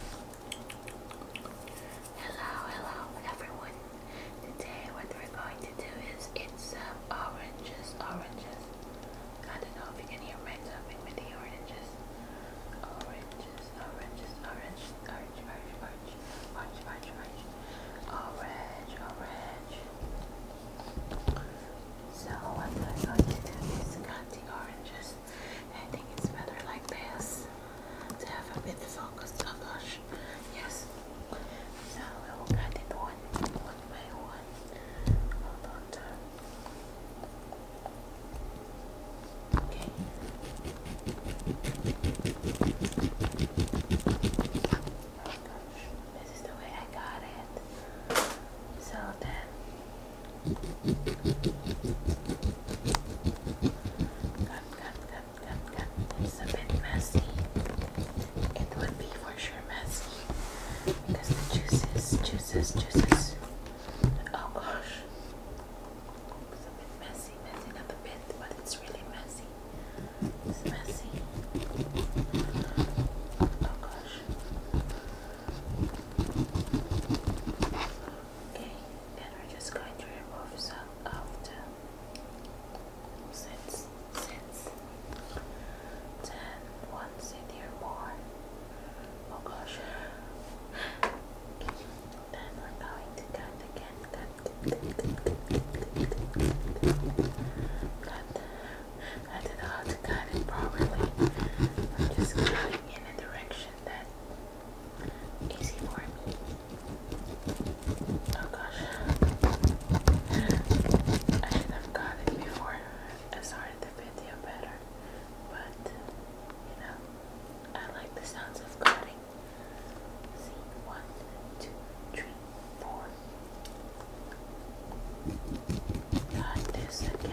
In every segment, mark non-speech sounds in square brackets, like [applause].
Hello, hello everyone. Today what we're going to do is eat some oranges, oranges. I don't know if you can hear me. topping with the oranges. Oranges, oranges, orange, orange, orange, orange, orange, orange, orange, orange, orange. So what we're going to do is cut the oranges. I think it's better like this to have a bit focused on gosh. Yes. So we will cut it one, one by one. Hold on Okay. Oh gosh, this is the way I got it. So then Come, come, come, come, come. It's a bit messy. It would be for sure messy because the juices, juices, juices. Oh gosh, it's a bit messy, messy, not a bit, but it's really messy. It's messy. Oh gosh. Okay, then we're just going to remove some of the sets. sets. Then one more. Oh gosh. Then we're going to cut again. Cut. Cut. I don't know how to cut it properly. I'm just cutting in a direction motion that easy for me. Oh gosh. I have got it before I started the video better. But you know, I like the sounds of cutting. one, two, three, four. God this again.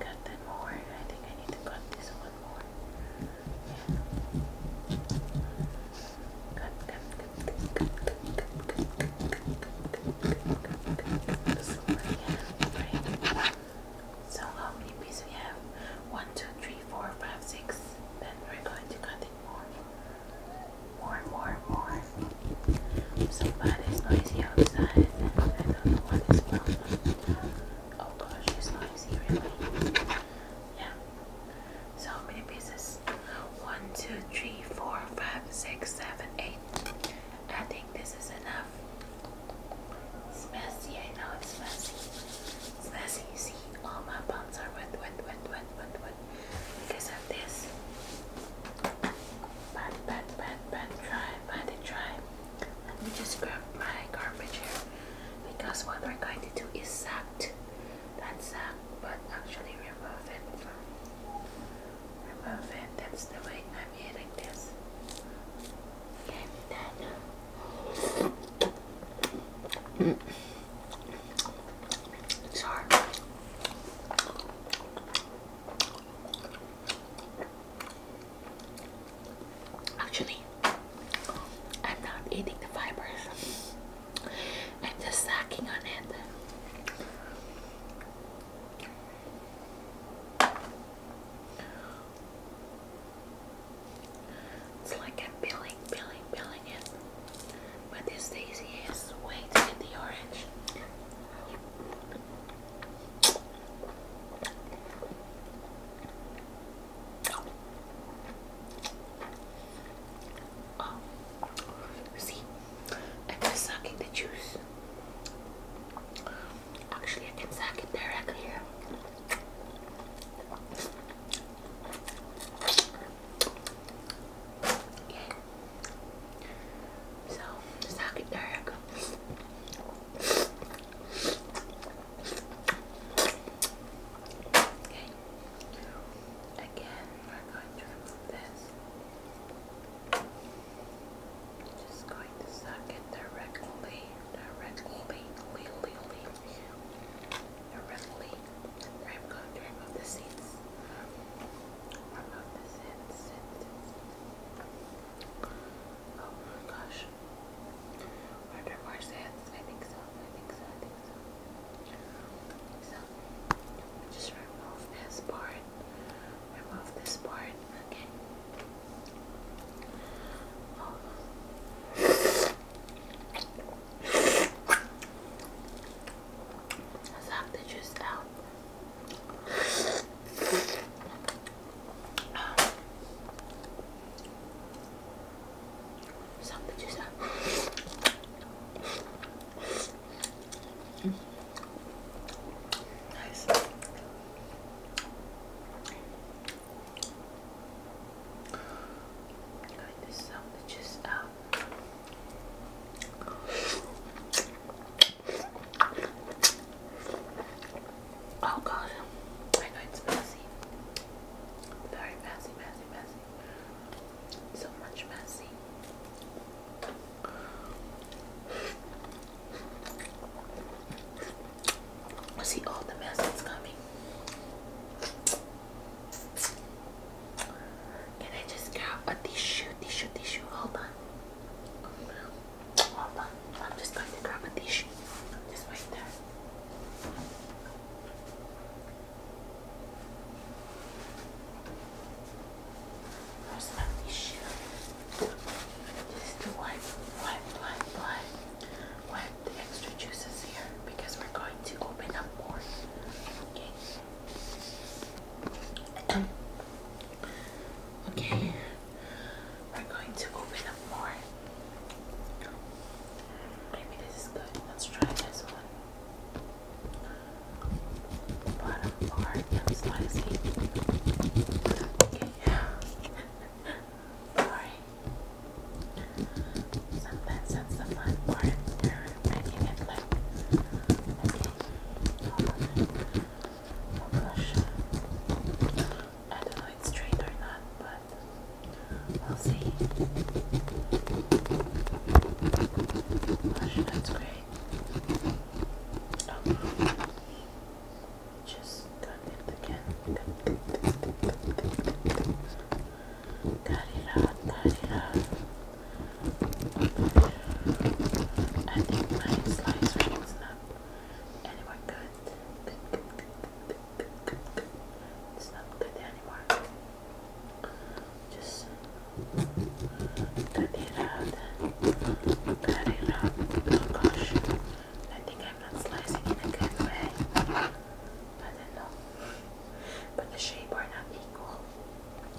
Cut that more. I think I need to cut this one more. Yeah. Cut, cut, cut, so, how many pieces we have? One, two, three, four, five, six. Then we're going to cut it more. More, more, more. So bad it's noisy outside. I don't know what is going Oh gosh, it's noisy really. Yeah. So many pieces? One, two, three, four, five, six, seven, eight. I think this is enough. It's messy, I know it's messy. So as see, all my pants are wet, wet, wet, wet, wet, wet. Because of this. Bad, bad, bad, bad, dry, bad and Let me just grab my garbage here. Because what we're going to do is sacked. That sack, but actually remove it. Remove it. That's the way I'm eating this. Okay, then. Actually, I'm not eating the fibers. I'm just snacking on it. It's like I'm peeling, peeling, peeling it. But this daisy is way to get the orange. Oh, see, I'm just sucking the juice. Actually, I can suck it directly so, sakit na ako. Okay. Again, we're going to remove this. Just going to suck it directly, directly, literally. Directly, I'm going to remove the seeds. Remove the seeds. Oh my gosh. Are there more sands? I think so. I think so. I think so. So, just remove this part. Remove this part. Okay. Oh. Suck the juice out. Suck the out. Nice. Like this sandwiches out. Um, oh god, I know it's messy. Very messy, messy, messy. So much messy. I see all the mess that's coming. And I just got a tissue, tissue, tissue. Hold on. Hold on. I'm just going to grab a tissue. Just right there. Where's my tissue? Just wipe, wipe, wipe, wipe. Wipe, the extra juices here because we're going to open up more. Okay. okay. We're going to open up more. Maybe this is good. Let's try this one. Bottom part, I'm slicing. Okay. Sorry. Sometimes that's the fun part. they making it like i don't know if it's straight or not, but we'll see. Brush, that's great. Oh. Just got it again. Got it out, got it out. I think my slice ring is not anymore good. Good, good, good, good, good, good. It's not good anymore. Just cut it out. Cut it out. Oh gosh. I think I'm not slicing in a good way. I don't know. But the shape are not equal,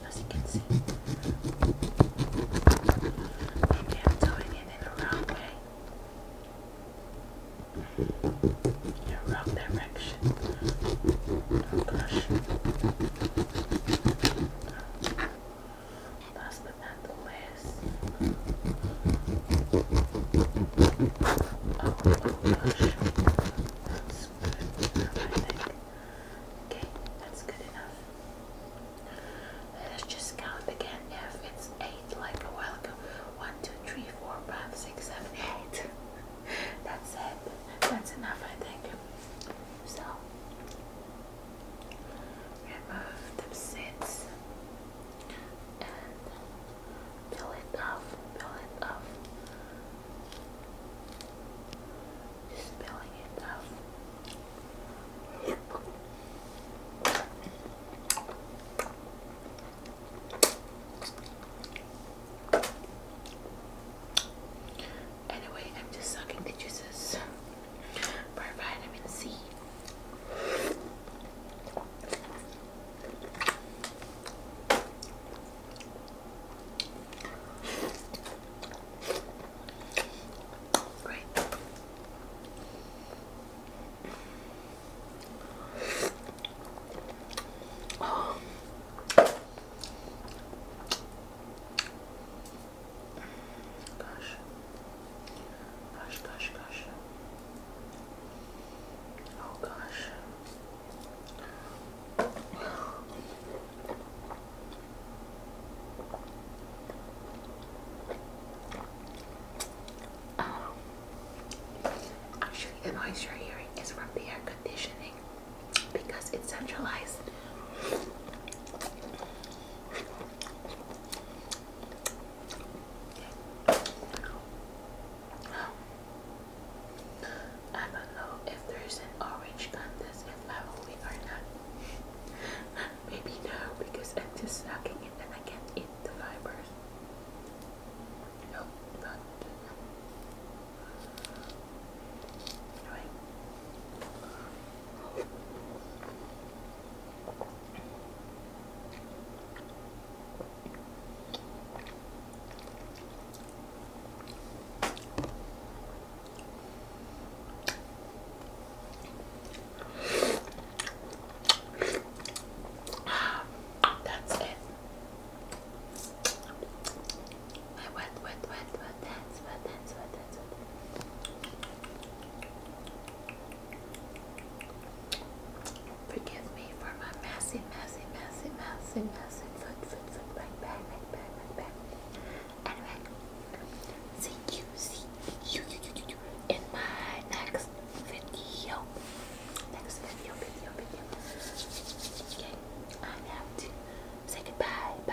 as you can see. Maybe I'm doing it in the wrong way. In the wrong direction. Don't Oh, that's good, Okay, that's good enough. Let's just count again if it's 8 like a while ago. [laughs] That's it. That's enough, I think. So, remove the seeds and peel it off, peel it off. Just peeling it off. Anyway, I'm just sucking the juices for vitamin C. Great. Oh. Gosh. Gosh, gosh, gosh. Oh gosh. [sighs] Actually, the noise you're hearing is from the air conditioning because it's centralized. I don't know if there's an orange contest if I will win or not. Maybe no, because I'm just sucking it and I can't eat the fibers. Nope, Anyway. That's it. What, what, what, what, what, that's, what, that's, what, Forgive me for my messy, messy, messy, messy, messy foot, foot, foot, right back, right back, right Anyway, see you, see you, you, you, you, you in my next video. Next video, video, video. Okay, I have to say goodbye. Bye,